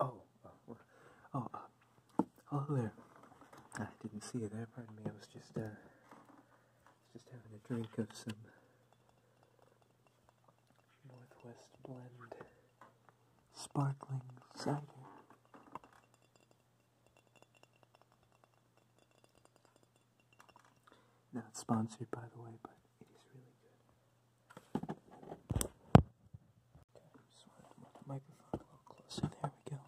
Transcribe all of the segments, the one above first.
Oh, oh, uh, oh, oh, there. I didn't see you there. Pardon me. I was just, uh, just having a drink of some Northwest Blend Sparkling Cider. Not sponsored, by the way, but it is really good. Okay, just wanted to move the microphone a little closer. There we go.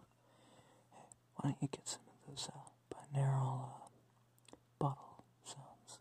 Hey, why don't you get some of those uh, binaural uh, bottle sounds?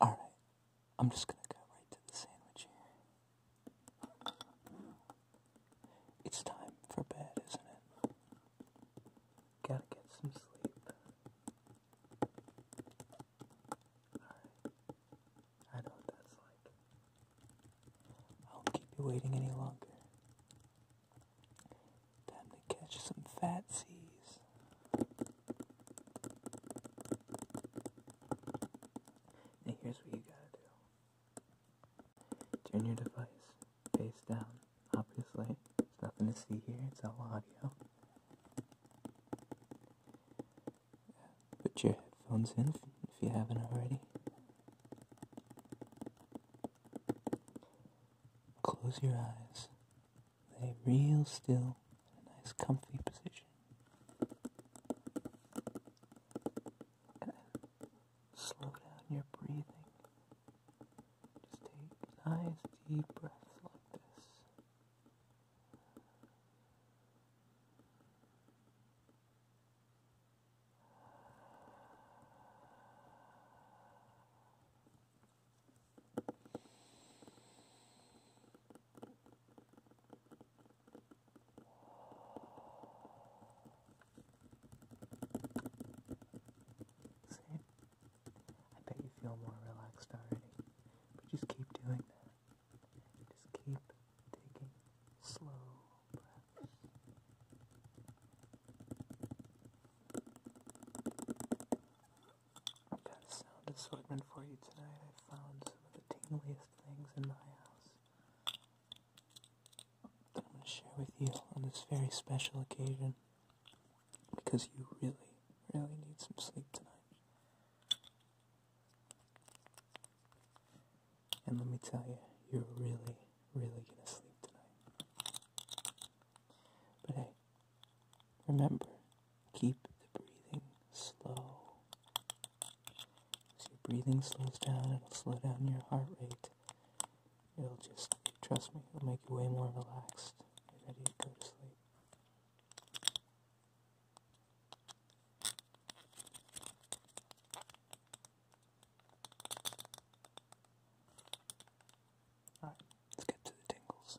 All right, I'm just going to go right to the sandwich here. It's time for bed, isn't it? Gotta get some sleep. Alright. I know what that's like. I won't keep you waiting any longer. Time to catch some fat seas. And here's what you gotta do. Turn your device face down. Obviously, there's nothing to see here, it's all audio. Put your headphones in if you haven't already. Close your eyes. Lay real still in a nice comfy position slow down your breathing. Just take nice deep breaths like this. See? I bet you feel more relaxed already. But just keep doing that. Just keep taking slow breaths. i got a sound assortment for you tonight. I found some of the tingliest things in my house that I'm going to share with you on this very special occasion because you really, really need some sleep tonight. And let me tell you, you're really, really going to sleep tonight. But hey, remember, keep the breathing slow. As your breathing slows down, it'll slow down your heart rate. It'll just, trust me, it'll make you way more relaxed. You're ready to go to sleep. Alright, let's get to the tingles.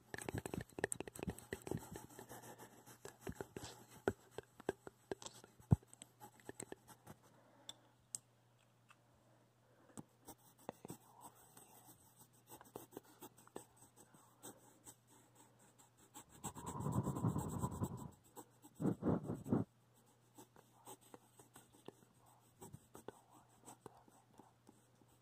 But don't worry about that right now.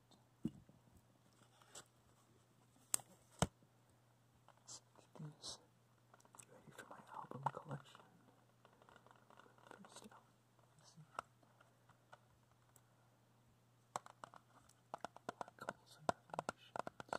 CDs ready for my album collection. first out, Black uh, Holes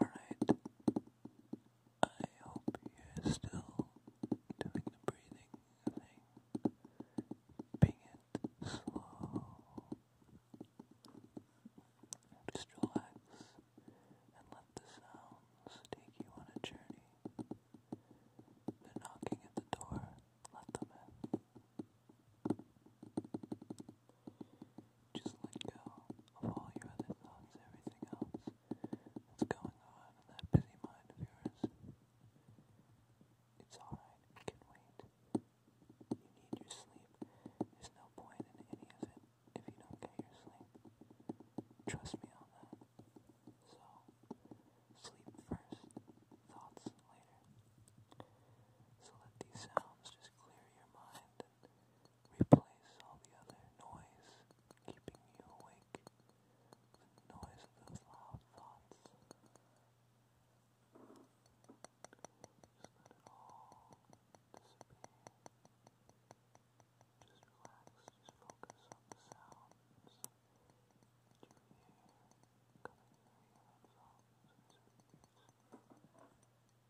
Alright, I hope you're still doing the breathing thing, being it slow. Just relax and let the sounds take you on a journey. They're knocking at the door, let them in. Just let go of all your other thoughts, everything else that's going on in that busy mind of yours. It's alright, can wait. You need your sleep. There's no point in any of it if you don't get your sleep. Trust me on that. So, sleep first, thoughts later. So let these sounds just clear your mind and replace all the other noise keeping you awake. noise of those loud thoughts. Just let it all disappear. Just relax, just focus on the sounds that you hear coming through your headphones and Just let them mesmerize you, let them relax you,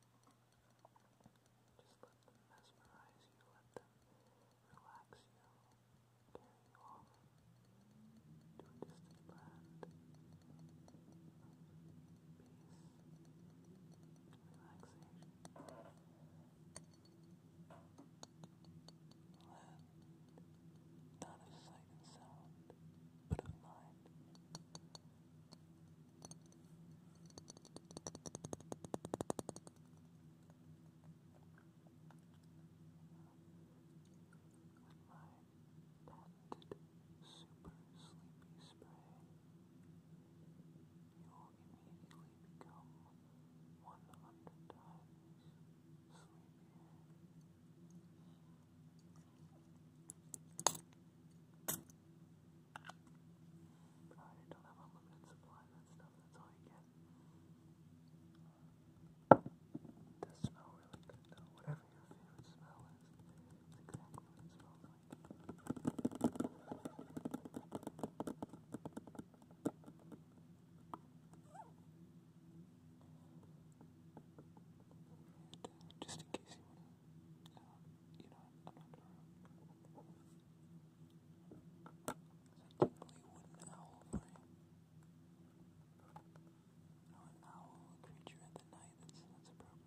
carry you off to a distant land. Peace, relaxation land, not of sight and sound, but of mind. my patented super sleepy spray, immediately I don't have unlimited supply of that stuff, that's all you get. Does smell really good though. Whatever your favorite smell is, it's exactly what just in case you wanna, uh, you know, I'm not sure. It's a tingly owl frame. No, an owl, a creature at the night, that's, that's appropriate.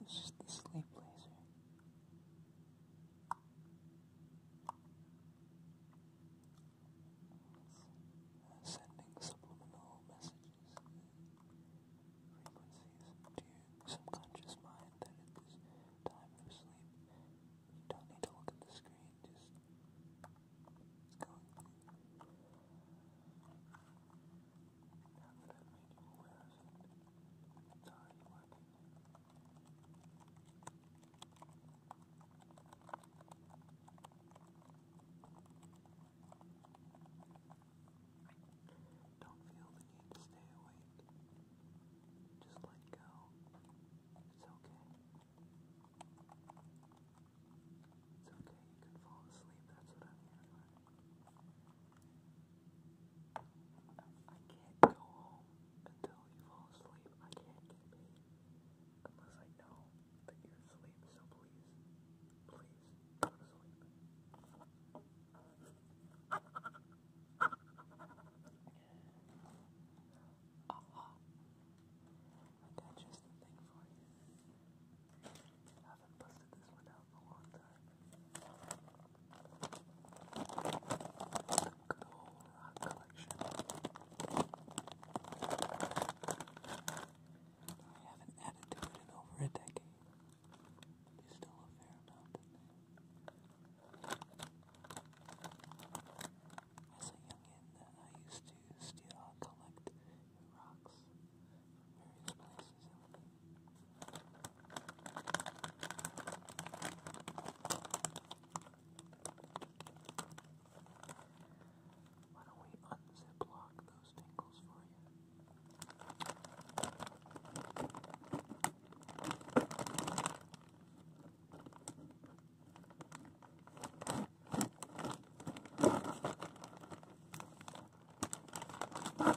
This is the sleep laser. sending subliminal messages frequencies to your subconscious mind that it time for sleep. You don't need to look at the screen, just go. Now that I've made you aware of it, it's already working. Now don't feel the need to stay awake. Just let go. It's okay. It's okay, you can fall asleep. That's what I'm here for. I can't go home until you fall asleep. I can't get paid unless I know that you're asleep. So please, please go to Aha! just the thing for you. haven't busted this one out in a long time. The good rock collection. I haven't added to it in over a decade. There's still a fair amount As a youngin, I used to steal, collect rocks from various places why don't we unzip lock the those tingles for you. All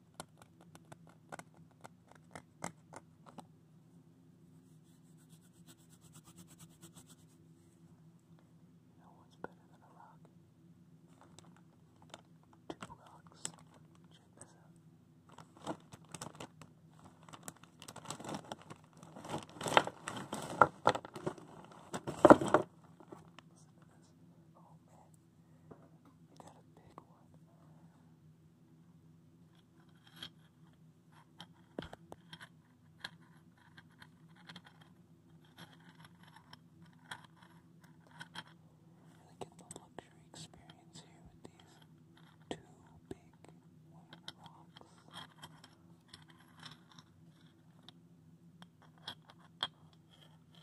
You know what's better than a rock? Two rocks. Check this out. Listen to this. Oh man, Got a big one. Really get the luxury experience here with these two big rocks.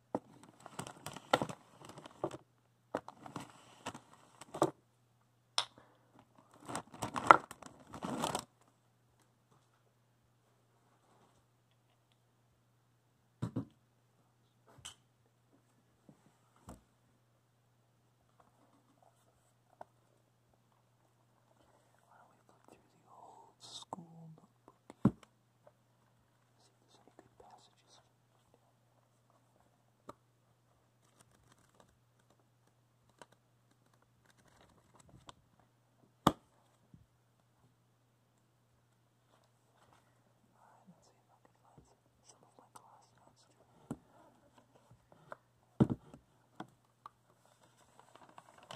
Why don't we flip through the old school notebook? See if there's any good passages. Alright, let's see if I can find some of my class notes too. All right,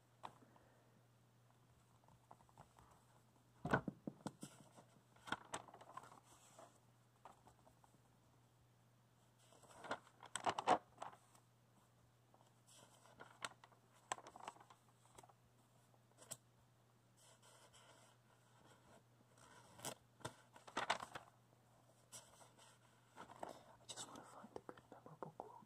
I just want to find a good memorable quote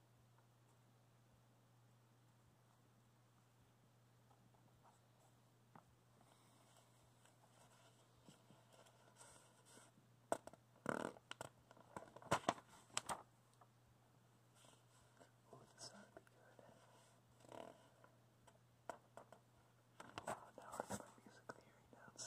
Oh, this ought to be good. Oh, now I got my music theory notes.